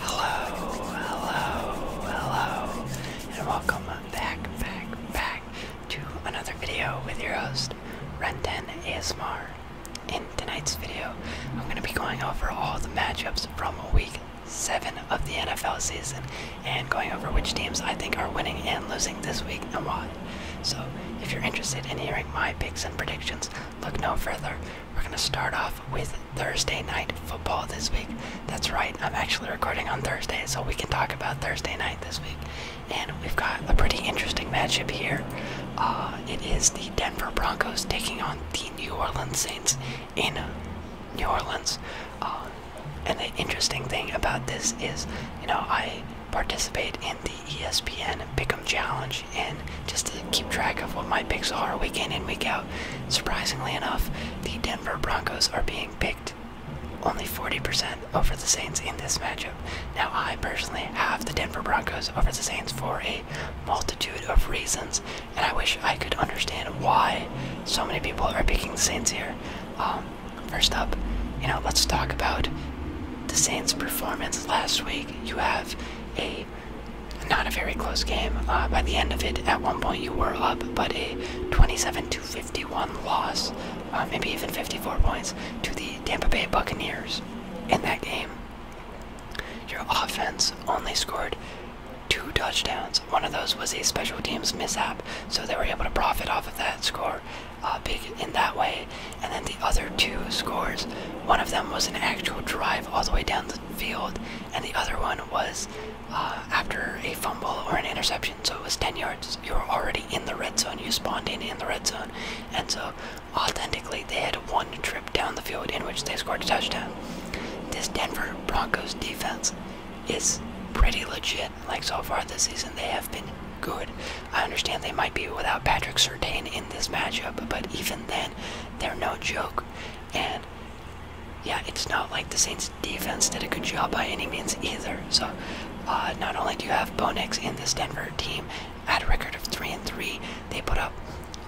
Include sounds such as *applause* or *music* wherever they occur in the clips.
Hello, hello, hello, and welcome back, back, back to another video with your host, Renten ASMR. In tonight's video, I'm going to be going over all the matchups from week 7 of the NFL season and going over which teams I think are winning and losing this week and why. So, if you're interested in hearing my picks and predictions, look no further. We're gonna start off with Thursday night football this week. That's right, I'm actually recording on Thursday, so we can talk about Thursday night this week. And we've got a pretty interesting matchup here. Uh, it is the Denver Broncos taking on the New Orleans Saints in New Orleans. Uh, and the interesting thing about this is, you know, I participate in the ESPN Pick challenge and just to keep track of what my picks are week in and week out. Surprisingly enough, the Denver Broncos are being picked only 40% over the Saints in this matchup. Now, I personally have the Denver Broncos over the Saints for a multitude of reasons, and I wish I could understand why so many people are picking the Saints here. Um, first up, you know, let's talk about the Saints' performance last week. You have a not a very close game. Uh, by the end of it, at one point you were up, but a 27 to 51 loss, uh, maybe even 54 points, to the Tampa Bay Buccaneers in that game. Your offense only scored two touchdowns. One of those was a special teams mishap, so they were able to profit off of that score uh, big in that way and then the other two scores one of them was an actual drive all the way down the field and the other one was uh, after a fumble or an interception so it was 10 yards you were already in the red zone you spawned in in the red zone and so authentically they had one trip down the field in which they scored a touchdown this denver broncos defense is pretty legit like so far this season they have been good i understand they might be without patrick Sertain in this matchup but even even they're no joke. And yeah, it's not like the Saints defense did a good job by any means either. So uh, not only do you have Bonex in this Denver team at a record of three and three, they put up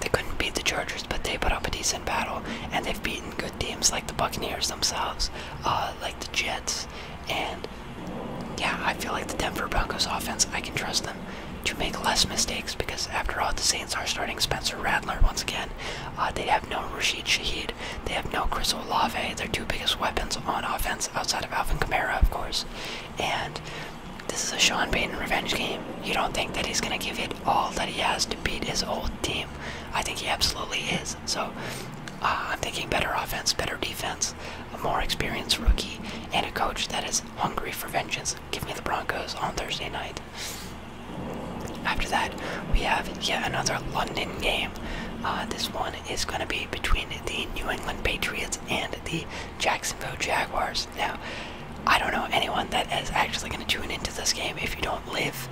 they couldn't beat the Chargers, but they put up a decent battle, and they've beaten good teams like the Buccaneers themselves, uh, like the Jets, and yeah, I feel like the Denver Broncos offense, I can trust them to make less mistakes because, after all, the Saints are starting Spencer Rattler once again. Uh, they have no Rashid Shaheed. They have no Chris Olave. Their two biggest weapons on offense, outside of Alvin Kamara, of course. And this is a Sean Payton revenge game. You don't think that he's going to give it all that he has to beat his old team. I think he absolutely is. So uh, I'm thinking better offense, better defense a more experienced rookie, and a coach that is hungry for vengeance. Give me the Broncos on Thursday night. After that, we have yet another London game. Uh, this one is going to be between the New England Patriots and the Jacksonville Jaguars. Now, I don't know anyone that is actually going to tune into this game if you don't live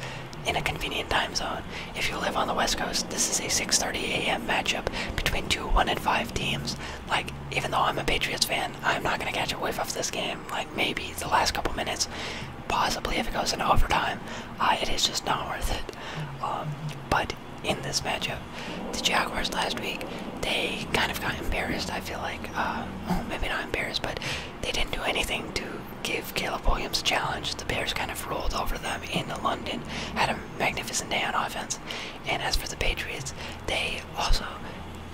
in a convenient time zone. If you live on the West Coast, this is a 6:30 a.m. matchup between two 1 and 5 teams. Like, even though I'm a Patriots fan, I'm not going to catch a wave of this game. Like, maybe the last couple minutes, possibly if it goes into overtime, uh, it is just not worth it. Um, but in this matchup, the Jaguars last week, they kind of got embarrassed, I feel like. Uh, maybe not embarrassed, but they didn't do anything to give Caleb Williams a challenge. The Bears kind of rolled over them in London, had a magnificent day on offense, and as for the Patriots, they also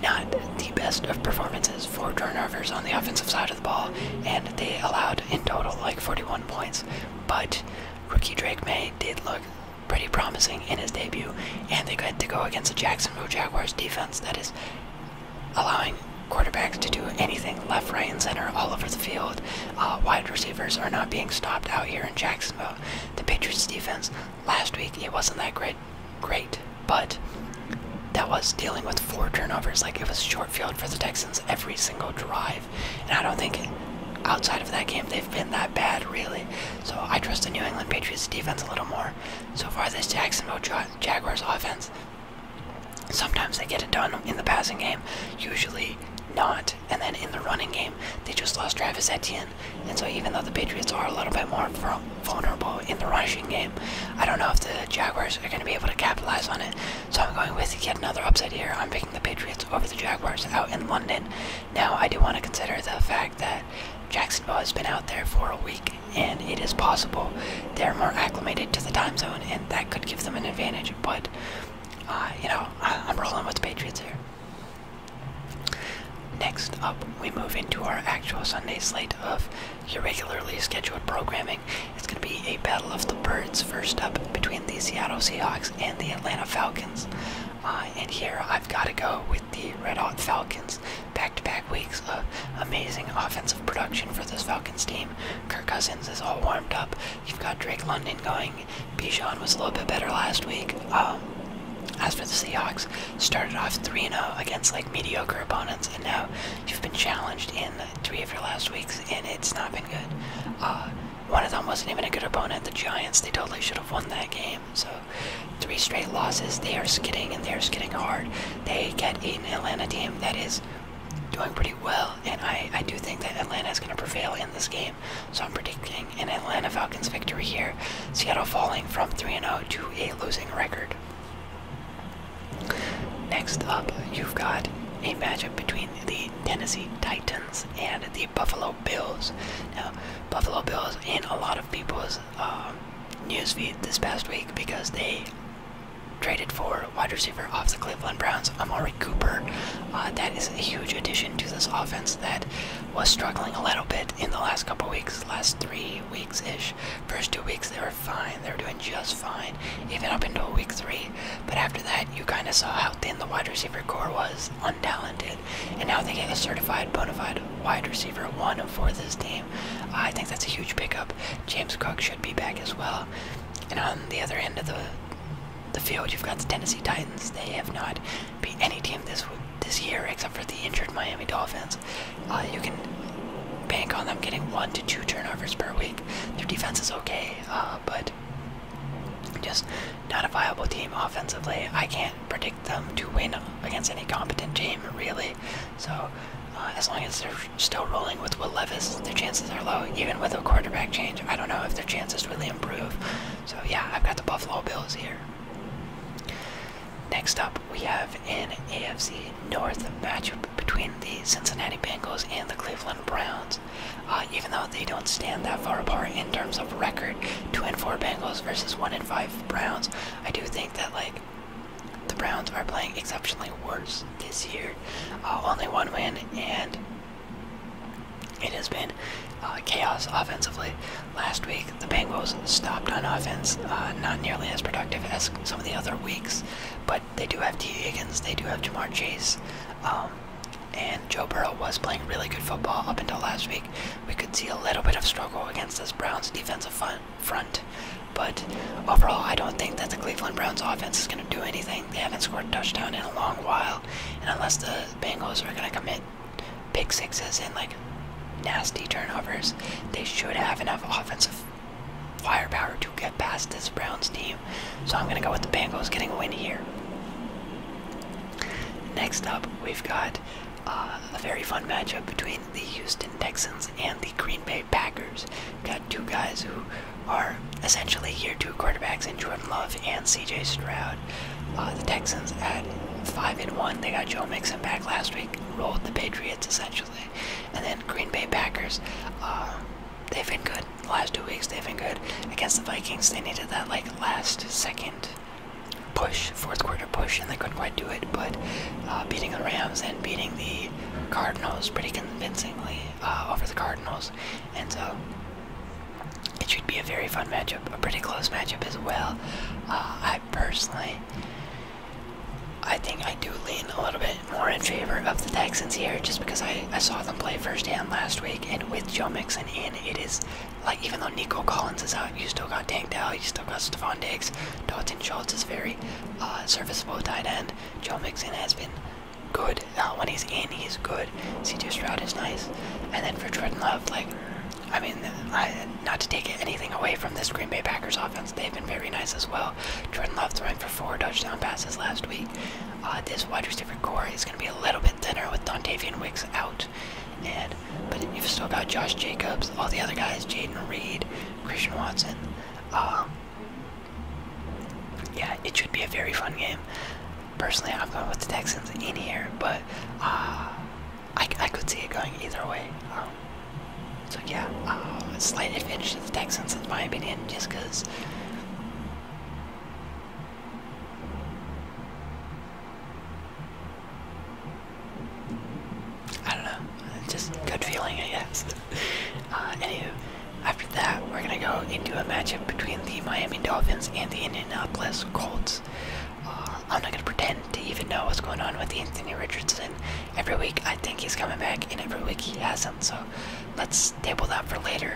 not the best of performances for turnovers on the offensive side of the ball, and they allowed in total like 41 points. But rookie Drake May did look pretty promising in his debut, and they got to go against the Jacksonville Jaguars defense that is allowing quarterbacks to do anything left, right, and center all over the field. Uh, wide receivers are not being stopped out here in Jacksonville. The Patriots defense last week it wasn't that great, great, but that was dealing with four turnovers. Like it was short field for the Texans every single drive, and I don't think outside of that game they've been that bad really. So I trust the New England Patriots defense a little more. So far, this Jacksonville Jaguars offense. Sometimes they get it done in the passing game, usually not. And then in the running game, they just lost Travis Etienne. And so even though the Patriots are a little bit more vulnerable in the rushing game, I don't know if the Jaguars are going to be able to capitalize on it. So I'm going with yet another upset here. I'm picking the Patriots over the Jaguars out in London. Now, I do want to consider the fact that Jacksonville has been out there for a week, and it is possible they're more acclimated to the time zone, and that could give them an advantage. But, uh, you know, I'm rolling with the Patriots here. Next up, we move into our actual Sunday slate of irregularly scheduled programming. It's going to be a battle of the birds first up between the Seattle Seahawks and the Atlanta Falcons. Uh, and here I've got to go with the Red Hot Falcons. Back to back weeks of amazing offensive production for this Falcons team. Kirk Cousins is all warmed up. You've got Drake London going. Bijan was a little bit better last week. Um, as for the Seahawks, started off 3-0 against like mediocre opponents, and now you've been challenged in three of your last weeks, and it's not been good. Uh, one of them wasn't even a good opponent, the Giants. They totally should have won that game. So, three straight losses. They are skidding, and they are skidding hard. They get an Atlanta team that is doing pretty well, and I, I do think that Atlanta is going to prevail in this game. So I'm predicting nothing in Atlanta Falcons victory here. Seattle falling from 3-0 to a losing record. Next up, you've got a matchup between the Tennessee Titans and the Buffalo Bills. Now, Buffalo Bills in a lot of people's um, newsfeed this past week because they traded for wide receiver off the Cleveland Browns, Cooper. Uh, that is a huge addition to this offense that was struggling a little bit in the last couple weeks, last three weeks ish. First two weeks they were fine, they were doing just fine, even up until week three. But after that, you kind of saw how thin the wide receiver core was, untalented, and now they get a certified bona fide wide receiver one for this team. I think that's a huge pickup. James Cook should be back as well. And on the other end of the the field, you've got the Tennessee Titans. They have not beat any team this this year except for the injured Miami Dolphins. Uh, you can bank on them getting one to two turnovers per week. Their defense is okay, uh, but just not a viable team offensively. I can't predict them to win against any competent team, really. So. Uh, as long as they're still rolling with Will Levis, their chances are low. Even with a quarterback change, I don't know if their chances really improve. So yeah, I've got the Buffalo Bills here. Next up, we have an AFC North matchup between the Cincinnati Bengals and the Cleveland Browns. Uh, even though they don't stand that far apart in terms of record, two and four Bengals versus one and five Browns, I do think that like the Browns are playing exceptionally worse this year. Uh, only one win and it has been uh, chaos offensively. Last week, the Bengals stopped on offense, uh, not nearly as productive as some of the other weeks, but they do have T. they do have Jamar Chase, um, and Joe Burrow was playing really good football up until last week. We could see a little bit of struggle against this Browns defensive front, but overall, I don't think that the Cleveland Browns offense is going to do anything. They haven't scored a touchdown in a long while, and unless the the Bengals are going to commit big sixes and like nasty turnovers. They should have enough offensive firepower to get past this Browns team. So I'm going to go with the Bengals getting a win here. Next up, we've got uh, a very fun matchup between the Houston Texans and the Green Bay Packers. got two guys who are essentially year two quarterbacks in Jordan Love and C.J. Stroud. Uh, the Texans at five and one, they got Joe Mixon back last week, rolled the Patriots essentially, and then Green Bay Packers. Uh, they've been good last two weeks. They've been good against the Vikings. They needed that like last second push, fourth quarter push, and they couldn't quite do it. But uh, beating the Rams and beating the Cardinals pretty convincingly over the Cardinals, and so it should be a very fun matchup, a pretty close matchup as well. Uh, I personally, I think I do lean a little bit more in favor of the Texans here, just because I, saw them play firsthand last week, and with Joe Mixon in, it is like even though Nico Collins is out, you still got Tank Dell, you still got Stephon Diggs, Dalton Schultz is very uh, serviceable tight end. Joe Mixon has been good. Now, uh, when he's in, he's good. CJ Stroud is nice. And then for Jordan Love, like, I mean, not to take anything away from this Green Bay Packers offense, they've been very nice as well. Jordan Love throwing for four touchdown passes last week. Uh, this wide receiver core is going to be a little bit thinner with Dontavian Wicks out. And, but you've still got Josh Jacobs, all the other guys, Jaden Reed, Christian Watson. Um, yeah, it should be a very fun game. Personally, I've gone with the Texans in here, but uh, I, I could see it going either way. Um, so yeah, uh, a slight advantage to the Texans in my opinion, just because. I don't know. Just good feeling, I guess. *laughs* Uh, anywho, after that, we're going to go into a matchup between the Miami Dolphins and the Indianapolis Colts. Uh, I'm not going to pretend to even know what's going on with Anthony Richardson. Every week I think he's coming back, and every week he hasn't, so let's table that for later.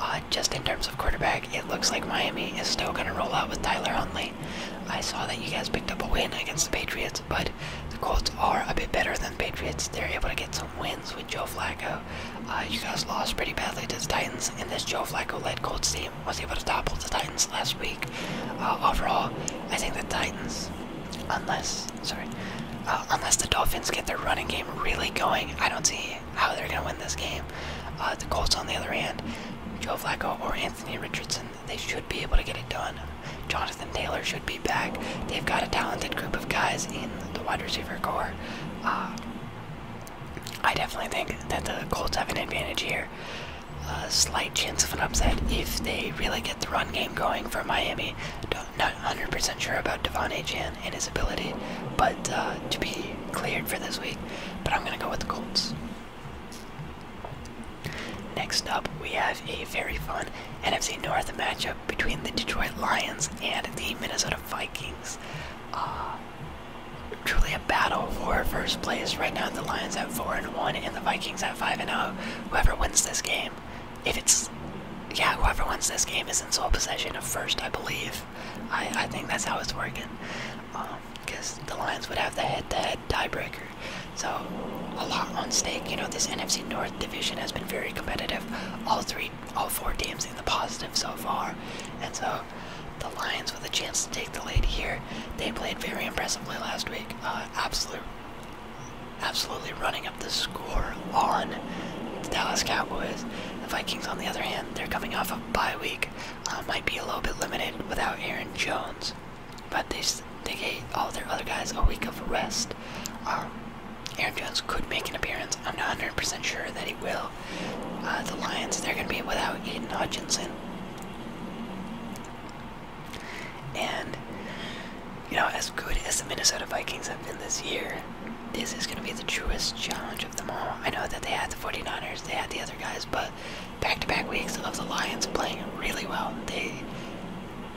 Uh, just in terms of quarterback, it looks like Miami is still going to roll out with Tyler Huntley. I saw that you guys picked up a win against the Patriots, but the Colts are a bit better than the Patriots. They're able to get some wins with Joe Flacco. Uh, you guys lost pretty badly to the Titans, and this Joe Flacco-led Colts team was able to topple the Titans last week. Uh, overall, I think the Titans, unless sorry, uh, unless the Dolphins get their running game really going, I don't see how they're gonna win this game. the Colts, on the other hand, Joe Flacco or Anthony Richardson, they should be able to get it done. Jonathan Taylor should be back. They've got a talented group of guys in the wide receiver core. Um, I definitely think that the Colts have an advantage here. A slight chance of an upset if they really get the run game going for Miami. Don't, not 100% sure about Devon Achan and his ability, but uh, to be cleared for this week. But I'm going to go with the Colts. Next up, we have a very fun NFC North matchup between the Detroit Lions and the Minnesota Vikings. Uh, truly a battle for first place. Right now, the Lions at 4 and 1 and the Vikings at 5 and 0. Whoever wins this game, if it's. Yeah, whoever wins this game is in sole possession of first, I believe. I, I think that's how it's working. Because um, the Lions would have the head to head tiebreaker. So, a lot on stake. You know, this NFC North division has been very competitive. All three all four teams in the positive so far, and so the Lions with a chance to take the lead here. They played very impressively last week. Uh, absolutely running up the score on the Dallas Cowboys. The Vikings, on the other hand, they're coming off a bye week. Uh, might be a little bit limited without Aaron Jones, but they they gave all their other guys a week of rest. Uh, Aaron Jones could make an appearance. I'm 100% sure that he will. Uh, the Lions, they're going to be without Aiden Hutchinson. And, you know, as good as the Minnesota Vikings have been this year, this is going to be the truest challenge of them all. I know that they had the 49ers, they had the other guys, but back to back weeks of the Lions playing really well. They.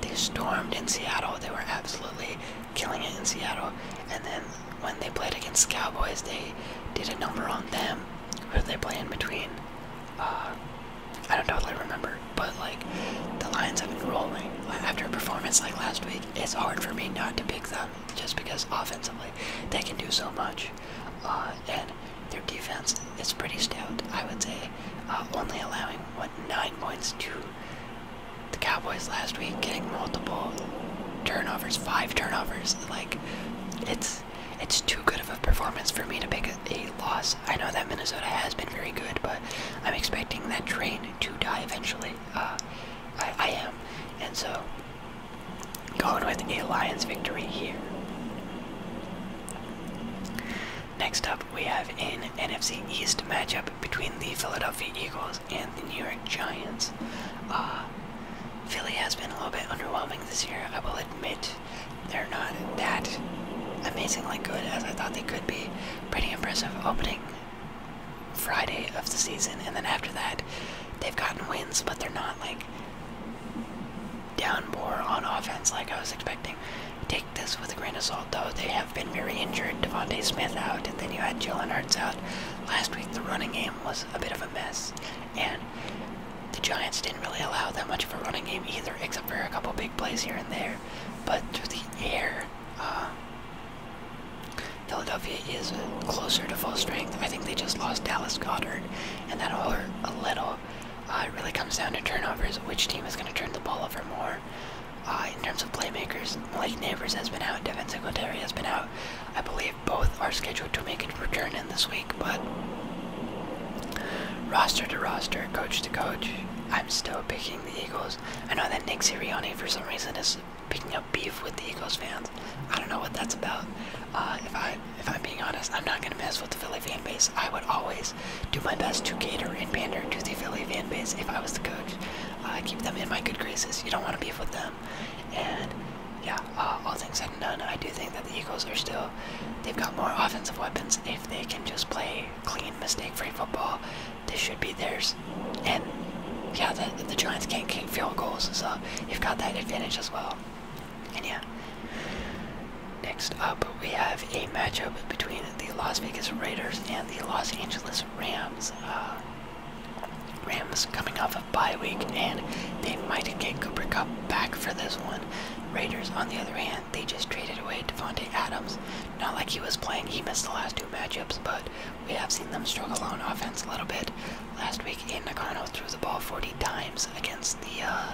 They stormed in Seattle. They were absolutely killing it in Seattle. And then when they played against the Cowboys, they did a number on them. Who they play in between? Uh, I don't totally remember, but like the Lions have been rolling after a performance like last week. It's hard for me not to pick them just because offensively they can do so much, uh, and their defense is pretty stout. I would say uh, only allowing what nine points to the Cowboys last week getting multiple turnovers, five turnovers. Like it's it's too good of a performance for me to pick a, loss. I know that Minnesota has been very good, but I'm expecting that train to die eventually. Uh, I am, and so going with a Lions victory here. Next up, we have an NFC East matchup between the Philadelphia Eagles and the New York Giants. Uh, Philly has been a little bit underwhelming this year, I will admit. They're not that amazingly good as I thought they could be. Pretty impressive opening Friday of the season, and then after that, they've gotten wins, but they're not like downpour on offense like I was expecting this with a grain of salt, though. They have been very injured. Devonte Smith out, and then you had Jalen Hurts out. Last week, the running game was a bit of a mess, and the Giants didn't really allow that much of a running game either, except for a couple big plays here and there. But through the air, uh, Philadelphia is closer to full strength. I think they just lost Dallas Goddard, and that'll hurt a little. Uh, it really comes down to turnovers. Which team is going to turn the ball over more? Uh, in terms of playmakers, Malik Neighbors has been out, Devin Singletary has been out. I believe both are scheduled to make a return in this week, but roster to roster, coach to coach, I'm still picking the Eagles. I know that Nick Sirianni, for some reason, is picking up beef with the Eagles fans. I don't know what that's about. Uh, if I, if I'm being honest, I'm not gonna mess with the Philly fan base. I would always do my best to cater and pander to the Philly fan base if I was the coach. I keep them in my good graces. You don't want to beef with them. And yeah, uh, all things said and done, I do think that the Eagles are still, they've got more offensive weapons. If they can just play clean, mistake-free football, this should be theirs. And yeah, the, Giants can't kick field goals, so you've got that advantage as well. And yeah, next up we have a matchup between the Las Vegas Raiders and the Los Angeles Rams. Uh, Rams coming off of bye week, and they might get Cooper Cup back for this one. Raiders, on the other hand, they just traded away Devontae Adams. Not like he was playing, he missed the last two matchups, but we have seen them struggle on offense a little bit. Last week, Aiden threw the ball 40 times against the, uh,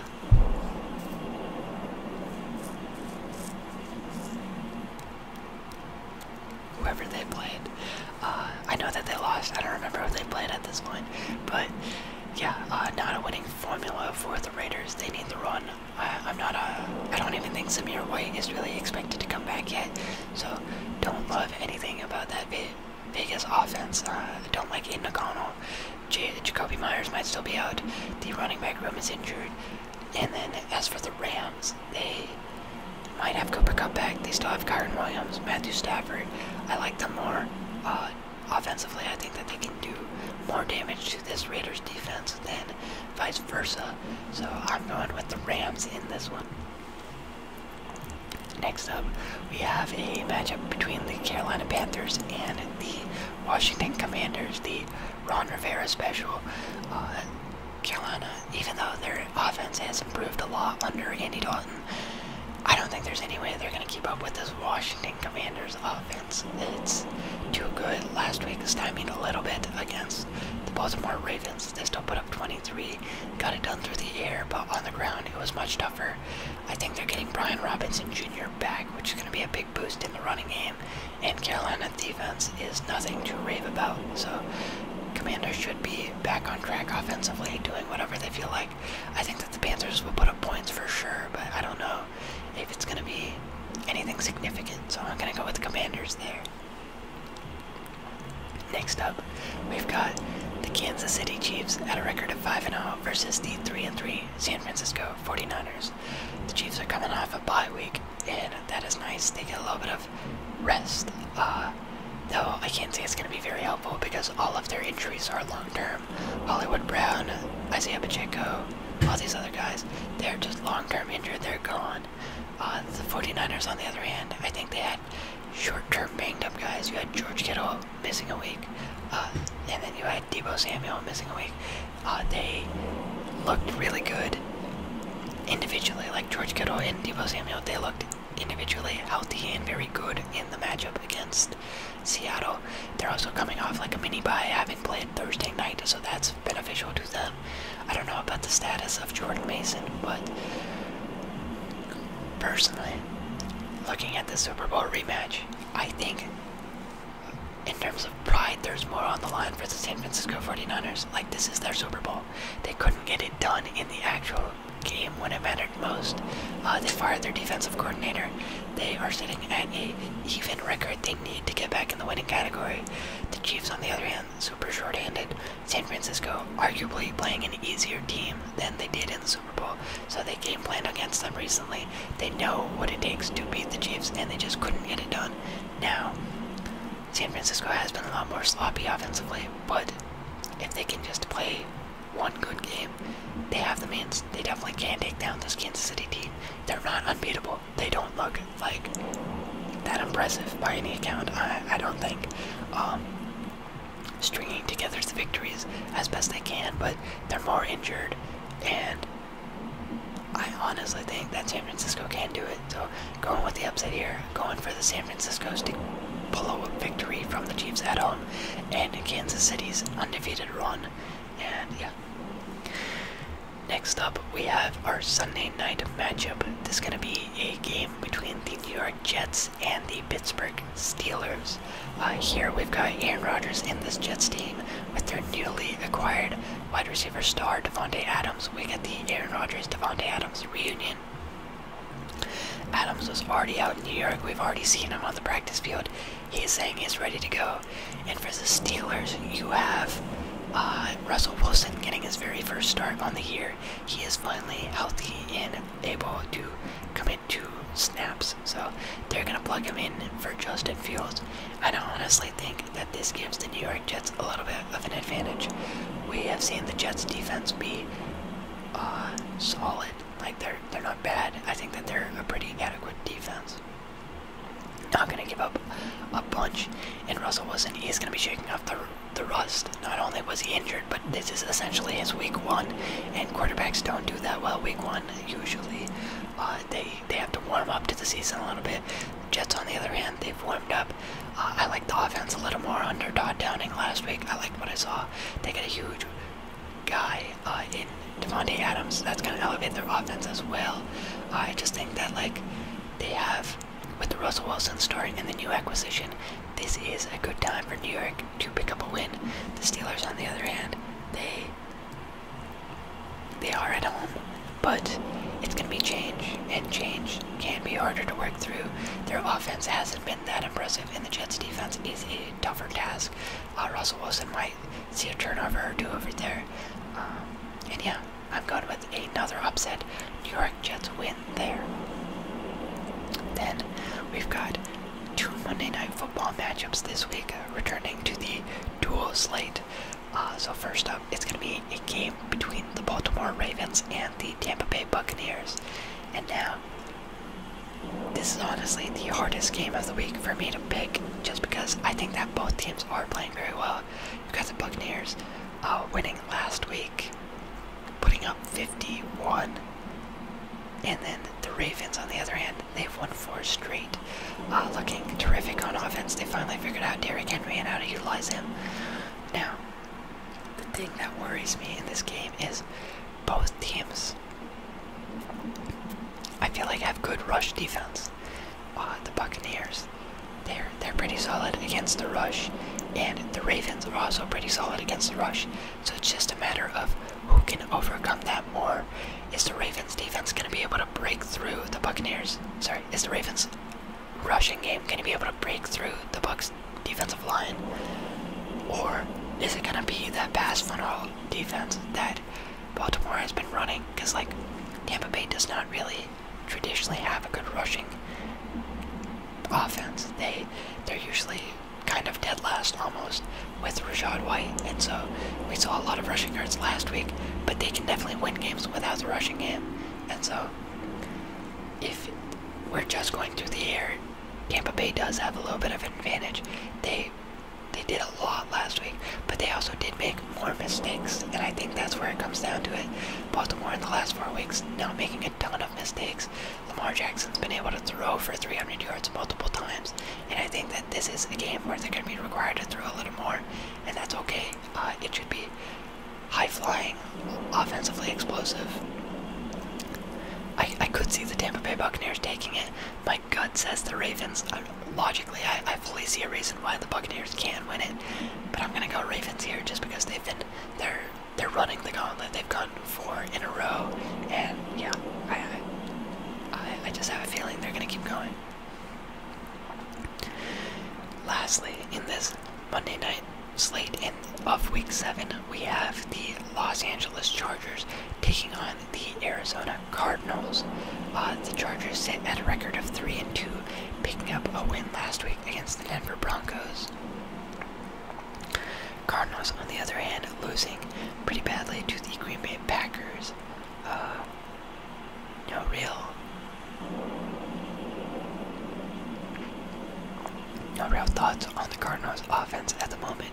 whoever they played. Uh, I know that they lost. I don't remember who they played at this point, but yeah, uh, not a winning formula for the Raiders. They need the run. I, I'm not a. don't even think Samir White is really expected to come back yet. So don't love anything about that Vegas offense. Uh, I don't like Aiden O'Connell. J Jacoby Myers might still be out. The running back room is injured. And then as for the Rams, they might have Cooper Cup back. They still have Kyron Williams, Matthew Stafford. I like them more. Uh, offensively, I think that they can do more damage to this Raiders defense than vice versa. So I'm going with the Rams in this one. Next up, we have a matchup between the Carolina Panthers and the Washington Commanders. The Ron Rivera special. Uh, Carolina, even though their offense has improved a lot under Andy Dalton, I don't think there's any way they're going to keep up with this Washington Commanders offense. It's too good. Last week timing a little bit against the Baltimore Ravens. They still put up 23, got it done through the air, but on the ground it was much tougher. I think they're getting Brian Robinson Jr. back, which is going to be a big boost in the running game and Carolina defense is nothing to rave about. So, Commanders should be back on track offensively, doing whatever they feel like. I think that the Panthers will put up points for sure, but I don't know if it's going to be anything significant. So, I'm going to go with the Commanders there. Next up, we've got the Kansas City Chiefs at a record of 5 0 versus the 3 3 San Francisco 49ers. The Chiefs are coming off a bye week, and that is nice. They get a little bit of rest. Uh, though I can't say it's going to be very helpful because all of their injuries are long term. Hollywood Brown, Isaiah Pacheco, all these other guys, they're just long term injured. They're gone. Uh, the 49ers, on the other hand, I think they had short term banged up guys. You had George Kittle missing a week, uh, and then you had Debo Samuel missing a week. Uh, they looked really good individually, like George Kittle and Debo Samuel. They looked individually healthy and very good in the matchup against Seattle. They're also coming off like a mini bye, having played Thursday night, so that's beneficial to them. I don't know about the status of Jordan Mason, but personally, looking at the Super Bowl rematch, I think in terms of pride, there's more on the line for the San Francisco 49ers. Like, this is their Super Bowl. They couldn't get it done in the actual game when it mattered most. Uh, they fired their defensive coordinator. They are sitting at a even record they need to get back in the winning category. The Chiefs, on the other hand, super short-handed. San Francisco arguably playing an easier team than they did in the Super Bowl, so they game planned against them they know what it takes to beat the Chiefs, and they just couldn't get it done. Now, San Francisco has been a lot more sloppy offensively, but if they can just play one good game, they have the means. They definitely can take down this Kansas City team. They're not unbeatable. They don't look like that impressive by any account. I, don't think. Um, stringing together the victories as best they can, but they're more injured and I honestly think that San Francisco can do it. So going with the upset here, going for the San Francisco's to pull a victory from the Chiefs at home, and Kansas City's undefeated run. And yeah. Next up, we have our Sunday night matchup. This is going to be a game between the New York Jets and the Pittsburgh Steelers. Uh, here we've got Aaron Rodgers in this Jets team with their newly acquired wide receiver star Devonte Adams. We get the Aaron Rodgers Devonte Adams reunion. Adams was already out in New York. We've already seen him on the practice field. He's saying he's ready to go. And for the Steelers, you have uh, Russell Wilson getting his very first start on the year. He is finally healthy and able to come in two snaps, so they're gonna plug him in for Justin Fields. I don't honestly think that this gives the New York Jets a little bit of an advantage. We have seen the Jets defense be uh, solid. Like they're they're not bad. I think that they're a pretty adequate defense. Not gonna give up a bunch. And Russell Wilson he's gonna be shaking off the the rust. Not only was he injured, but this is essentially his week one, and quarterbacks don't do that well week one usually. Uh, uh, they they have to warm up to the season a little bit. Jets, on the other hand, they've warmed up. Uh, I like the offense a little more under Todd Downing last week. I liked what I saw. They got a huge guy uh, in Devontae Adams. That's going to elevate their offense as well. Uh, I just think that like they have with the Russell Wilson story and the new acquisition, this is a good time for New York to pick up a win. The Steelers, on the other hand, they they are at home, but it's going to be change, and change can be harder to work through. Their offense hasn't been that impressive, and the Jets' defense is a tougher task. Uh, Russell Wilson might see a turnover or two over there. Um, and yeah, I'm going with another upset. New York Jets win there. Then we've got two Monday night football football matchups this week, uh, returning to the dual slate. Uh, so, first up, it's going to be a game between the Baltimore Ravens and the Tampa Bay Buccaneers. And now, this is honestly the hardest game of the week for me to pick just because I think that both teams are playing very well. You've got the Buccaneers uh, winning last week, putting up 51 and then the Ravens, on the other hand, they've won four straight, uh, looking terrific on offense. They finally figured out Derrick Henry and how to utilize him. Now, the thing that worries me in this game is both teams. I feel like have good rush defense. Uh, the Buccaneers, they're they're pretty solid against the rush, and the Ravens are also pretty solid against the rush. So it's just a matter of who can overcome that more. Is the Ravens defense going to be able to break through the Buccaneers? Sorry, is the Ravens rushing game going to be able to break through the Bucks defensive line? Or is it going to be that pass funnel defense that Baltimore has been running? Because, like, Tampa Bay does not really traditionally have a good rushing offense. They they're usually kind of dead last almost with Rashad White, and so we saw a lot of rushing yards last week, but they can definitely win games without the rushing game, and so if we're just going through the air, Tampa Bay does have a little bit of an advantage. They they did a lot last week, but they also did make more mistakes, and I think that's where it comes down to it. Baltimore in the last four weeks now making a ton of mistakes, Lamar Jackson's been able to throw for 300 yards multiple times, and I think that this is a game where they're going to be required to throw a little more, and that's okay. Uh, it should be high flying, offensively explosive. I, I could see the Tampa Bay Buccaneers taking it. My gut says the Ravens. Uh, logically, I, I fully see a reason why the Buccaneers can win it, but I'm going to go Ravens here just because they've been they're they're running the gauntlet. They've gone four in a row, and yeah, I, I, just have a feeling they're going to keep going. Lastly, in this Monday night slate of Week 7, we have the Los Angeles Chargers taking on the Arizona Cardinals. Uh, the Chargers sit at a record of 3 and 2, picking up a win last week against the Denver Broncos. Cardinals, on the other hand, losing pretty badly to the Green Bay Packers. Uh, no real, no real thoughts on the Cardinals' offense at the moment.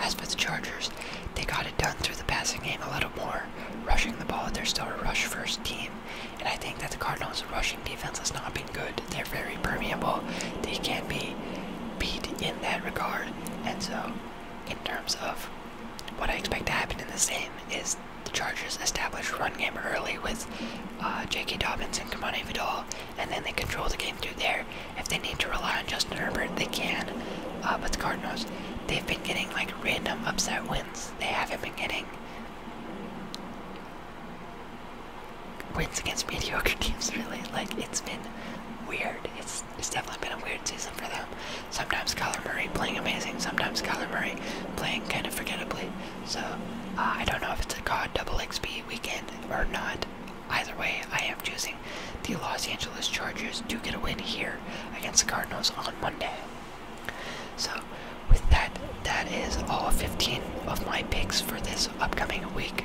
As for the Chargers, they got it done through the passing game a little more, rushing the ball. They're still a rush-first team, and I think that the Cardinals' rushing defense has not been good. They're very permeable. They can be beat in that regard. And so, in terms of what I expect to happen in the game, is the Chargers establish run game early with uh, J.K. Dobbins and Kamani Vidal, and then they control the game through there. If they need to rely on Justin Herbert, they can. Uh, but the Cardinals, they've been getting like random upset wins. They haven't been getting wins against mediocre *laughs* teams. Really, like it's been weird. It's it's definitely been a weird season for them. Sometimes Kyler Murray playing amazing. Sometimes Kyler Murray playing kind of forgettably. So uh, I don't know if it's a God double XP weekend or not. Either way, I am choosing the Los Angeles Chargers to get a win here against the Cardinals on Monday. So, with that, that is all 15 of my picks for this upcoming week.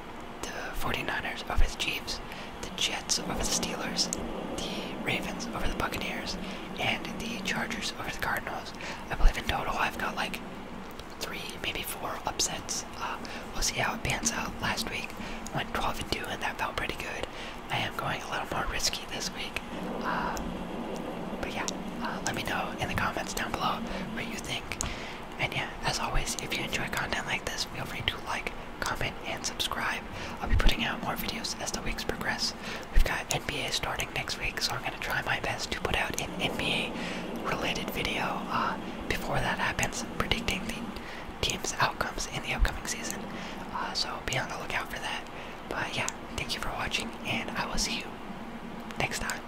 the 49ers over the Chiefs, the Jets over the Steelers, the Ravens over the Buccaneers, and the Chargers over the Cardinals. I believe in total I've got like three, maybe four upsets. Uh, we'll see how it pans out. Last week went 12 and 2, and that felt pretty good. I am going a little more risky this week. Uh, but yeah, uh, let me know in the comments down below what you think. And yeah, as always, if you enjoy content like this, feel free to like, comment, and subscribe. I'll be putting out more videos as the weeks progress. We've got NBA starting next week, so I'm gonna try my best to put out an NBA-related video uh, before that happens, predicting the team's outcomes in the upcoming season. Uh, so be on the lookout for that. But yeah, thank you for watching, and I will see you next time.